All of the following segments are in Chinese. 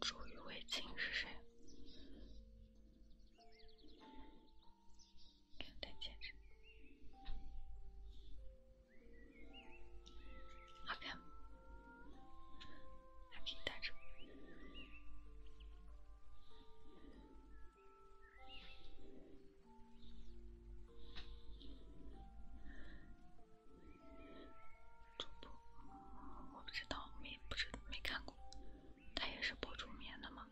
主语为卿是谁？给我戴戒指，好看吗？还可以带直播，主播我不知道，没不知没看过，他也是播助眠的吗？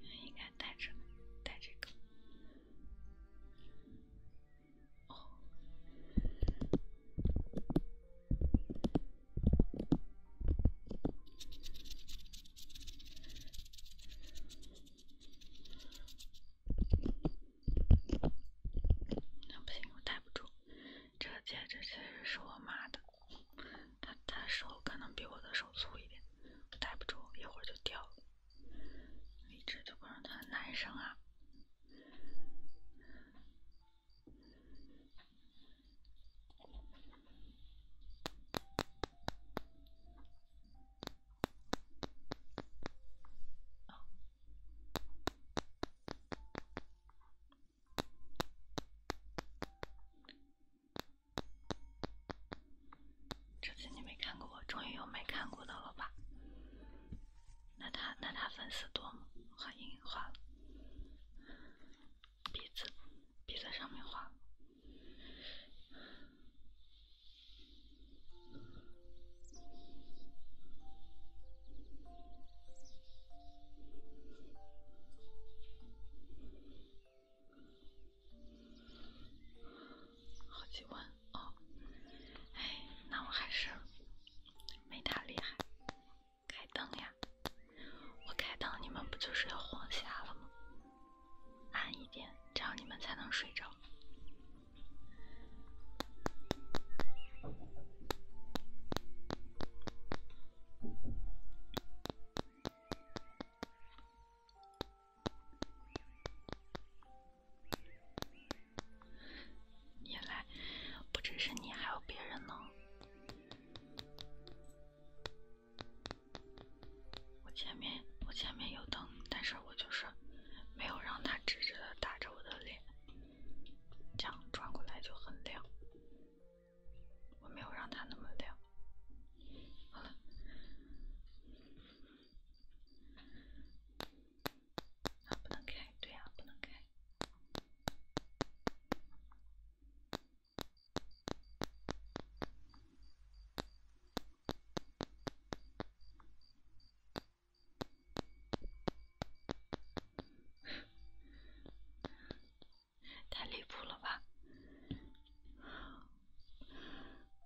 应该戴着，戴这个。那不行，我戴不住。这个戒指确实是我妈的。他他手可能比我的手粗一点，戴不住，一会儿就掉了。一直就关注他男生啊。这次你没看过，我终于有没看过的了吧？那他那他粉丝多吗？画阴影画了，鼻子鼻子上面画。好几万哦，哎，那我还是没他厉害。开灯呀，我开灯你们不就是要晃瞎了吗？暗一点，这样你们才能睡着。你来，不只是你，还有别人呢。我前面我前面有灯，但是我就是没有让它直直的打着我的脸，这样转过来就很亮。我没有让它那么亮。不能开，对呀，不能开，太离谱了吧！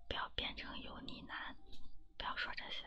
不要变成油腻男，不要说这些。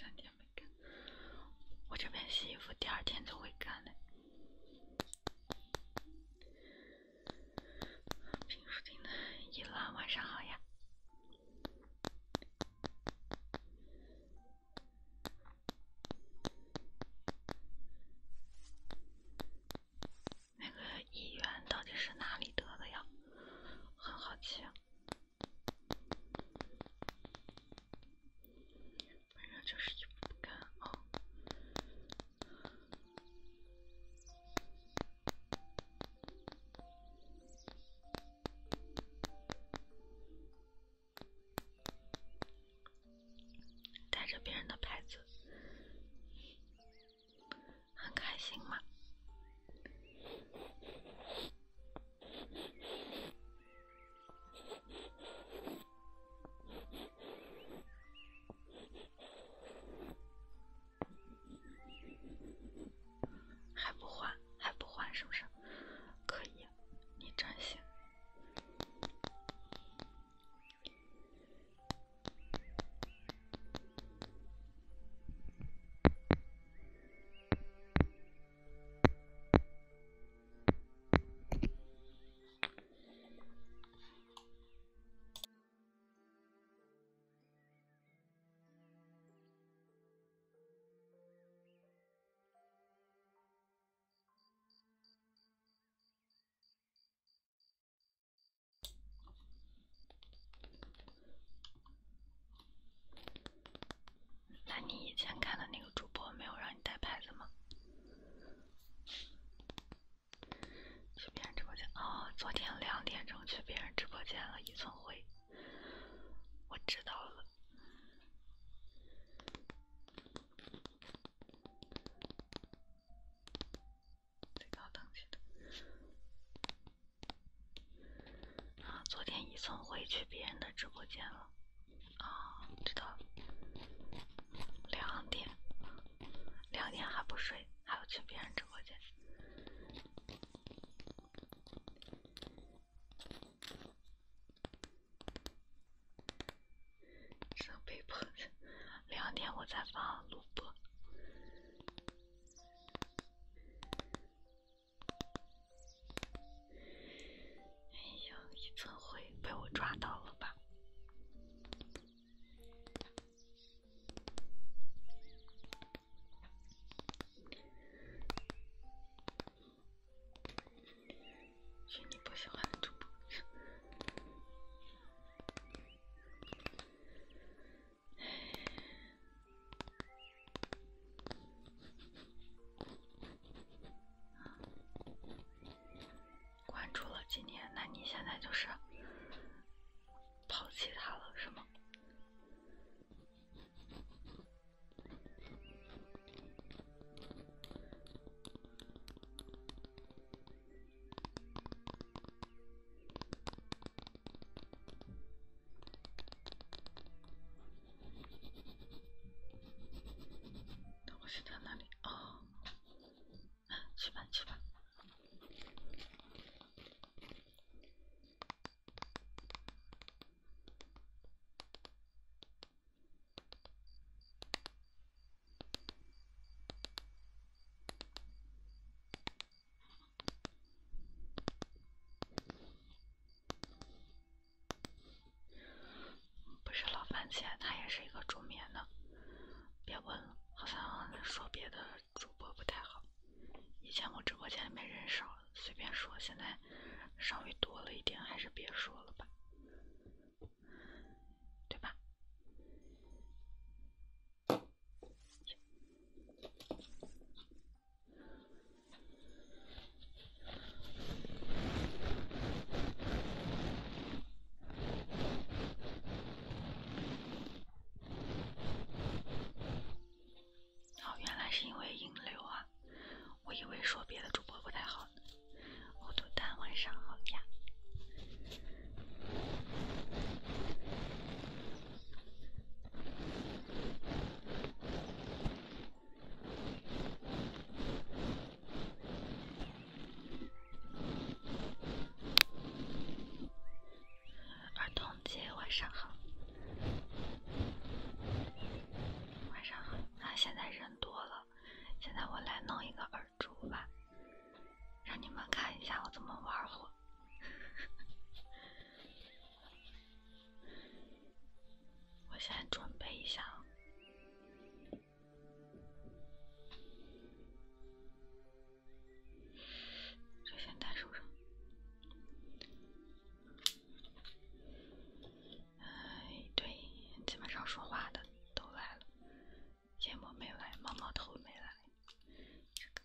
三天不干，我这边洗衣服第二天就会干的。平复静的一浪，晚上好呀。那个议员到底是哪里得的药？很好奇。反正就是一部不干哦。带着别人的牌子，很开心吗？还不换，还不换，是不是？可以，你真行。你以前看的那个主播没有让你带牌子吗？去别人直播间哦，昨天两点钟去别人直播间了一寸灰，我知道了。最高等级的啊！昨天一从回去别人的直播间了啊？知道，两点，两点还不睡，还要去别人直播间。真被迫的，两点我再发录播。哎呀，一不灰被我抓到了吧？选你不喜欢的主播，哎，关注了几年，那你现在就是抛弃他了，是吗？东西在那里，哦，来，去吧，去吧。不是老番茄，他也是一个助眠的。别问了，好像说别的主播不太好。以前我直播间里面人少。随便说，现在稍微多了一点，还是别说了吧，对吧？哦，原来是因为引流啊！我以为说别的主播不太好呢。我都蛋，晚上好呀。儿童。姐，晚上好，晚上好。啊，现在人多了，现在我来弄一个耳珠吧，让你们看一下我怎么玩火。我先准备一下，就先戴手上。哎，对，基本上说话的都来了，烟波没来，毛毛头没来。这个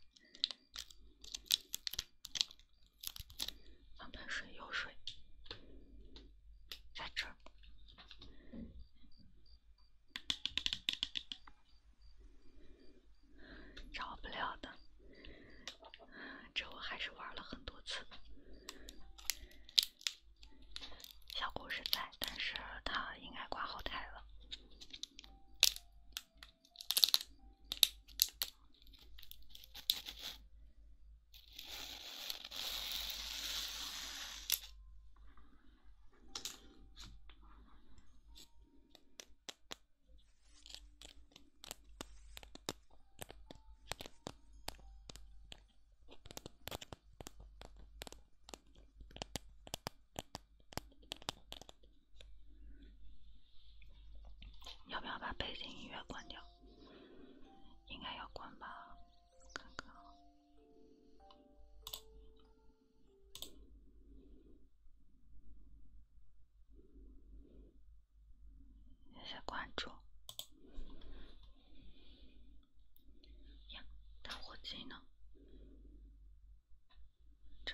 放盆水，有水在这儿，找不了的。这我还是玩了很多次，小故事在，但是他应该挂后台了。你要不要把背景音乐关掉？应该要关吧，我看看。谢谢关注。呀，打火机呢？这。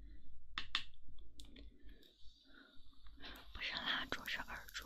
不是蜡烛，是耳烛。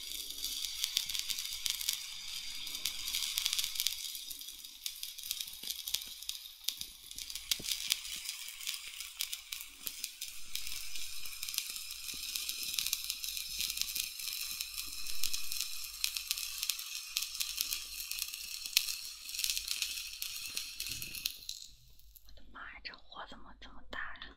我的妈呀，这火怎么这么大呀！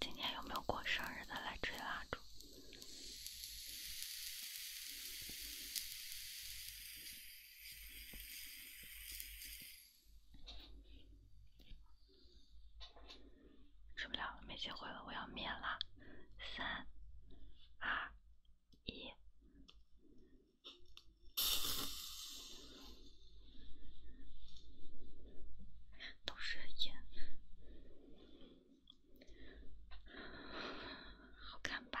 今天有没有过生日的来吹蜡烛？吹不了，没机会了，我要灭了。三、二、一。都是眼好看吧？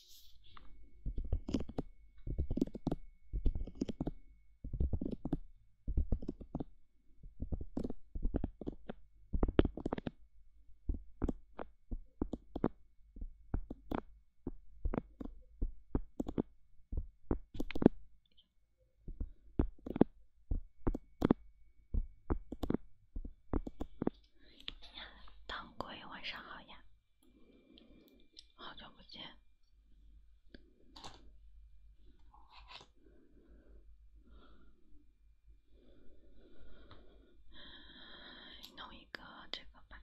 当归，晚上好呀。好久不见，弄一个这个吧。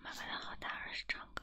妈妈的好大二是唱歌。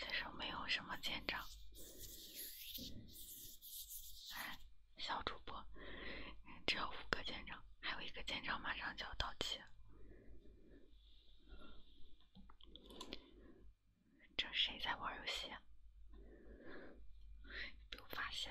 舰什么？没长。哎，小主播，只有五个舰长，还有一个舰长马上就要到期。这谁在玩游戏？被我发现。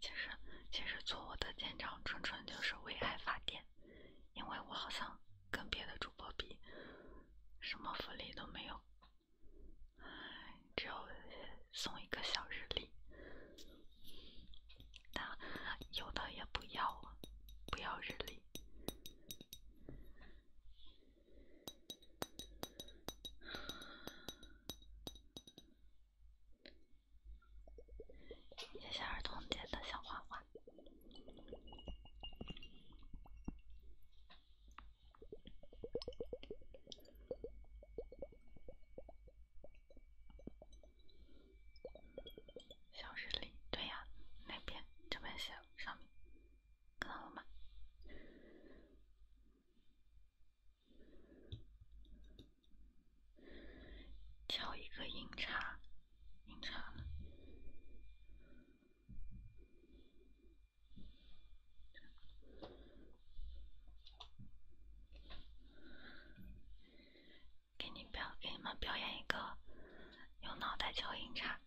其实，其实做我的舰长纯纯就是为爱发电，因为我好像跟别的主播比，什么福利都没有，只有送一个小日历，但有的也不要不要日历。写下儿童节的小花花，小日历，对呀，那边这边写上面。看到吗？敲一个音叉，音叉。给你表，给你们表演一个用脑袋敲音叉。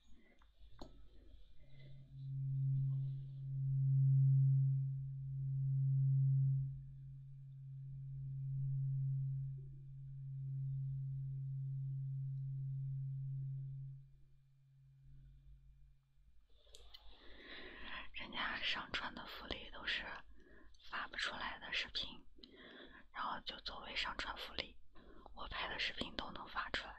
人家上传的福利都是发不出来的视频，然后就作为上传福利。我拍的视频都能发出来。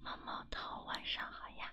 猫猫头，晚上好呀。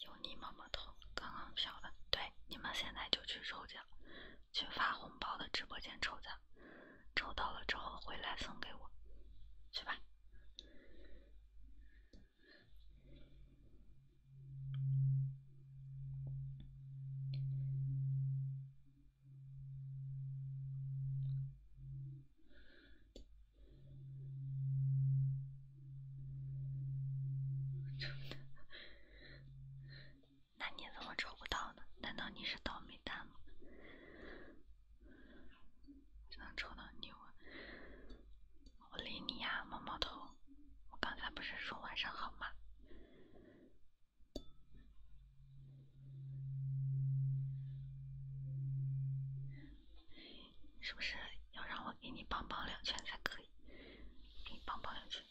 有你么么头，刚刚飘的。对，你们现在就去抽奖，去发红包的直播间抽奖，抽到了之后回来送给我，去吧。那你怎么抽不到呢？难道你是倒霉蛋吗？只能抽到你我，我理你呀！毛毛头，我刚才不是说晚上好吗？是不是要让我给你绑绑两圈才可以？给你绑绑两圈。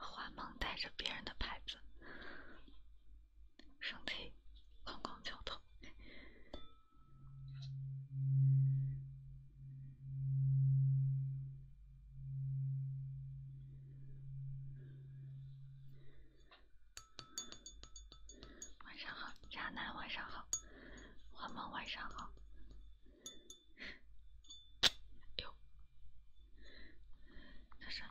花 梦戴着别人的牌子。身体刚刚叫痛，晚上好，渣男，晚上好，幻梦，晚上好。这是，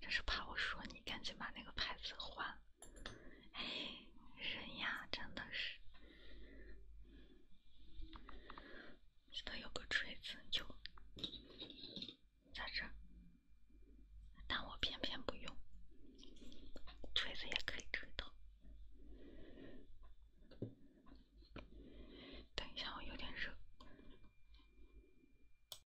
这是怕我说你，赶紧把那个牌子换。了。哎，人呀，真的是，记得有个锤子，就在这儿，但我偏偏不用，锤子也可以折到。等一下，我有点热。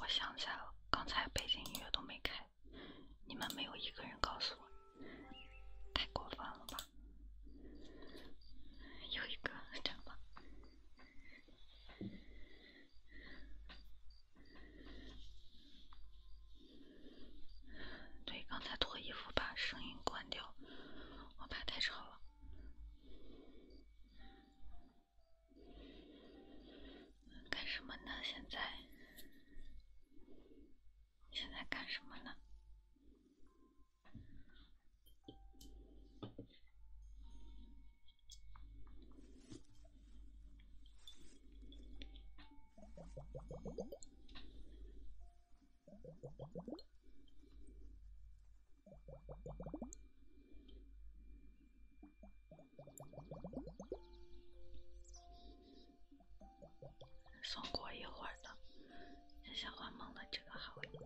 我想起来了，刚才背景音乐都没开。你们没有一个人告诉我，太过分了吧！有一个这样吧。对，刚才脱衣服把声音关掉，我怕太吵了。干什么呢？现在？你现在干什么呢？送过一会儿的，谢谢换梦的这个好一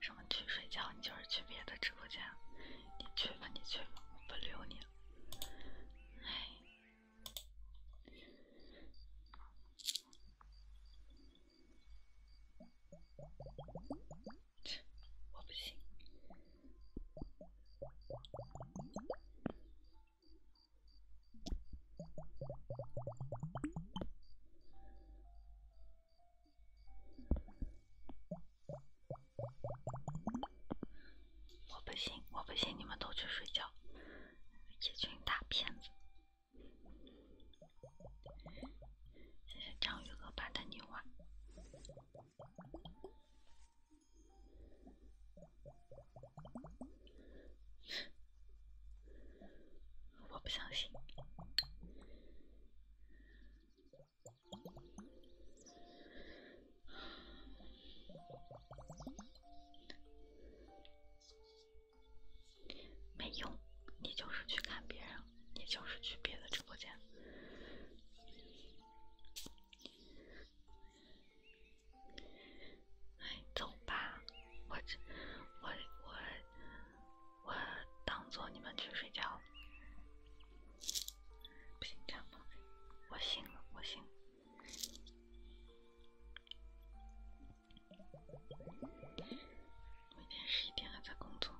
什么？去睡觉？你就是去别的直播间？你去吧，你去吧，我不留你。哎，我不信。我不信，我不信，你们都去睡觉，一群大骗子！张雨乐版的牛啊！我不相信，没用。你就是去看别人，你就是去别的直播间。哎，走吧，我这我我我当做你们去睡觉。不行，这样吧，我醒了，我醒。每天十一点还在工作。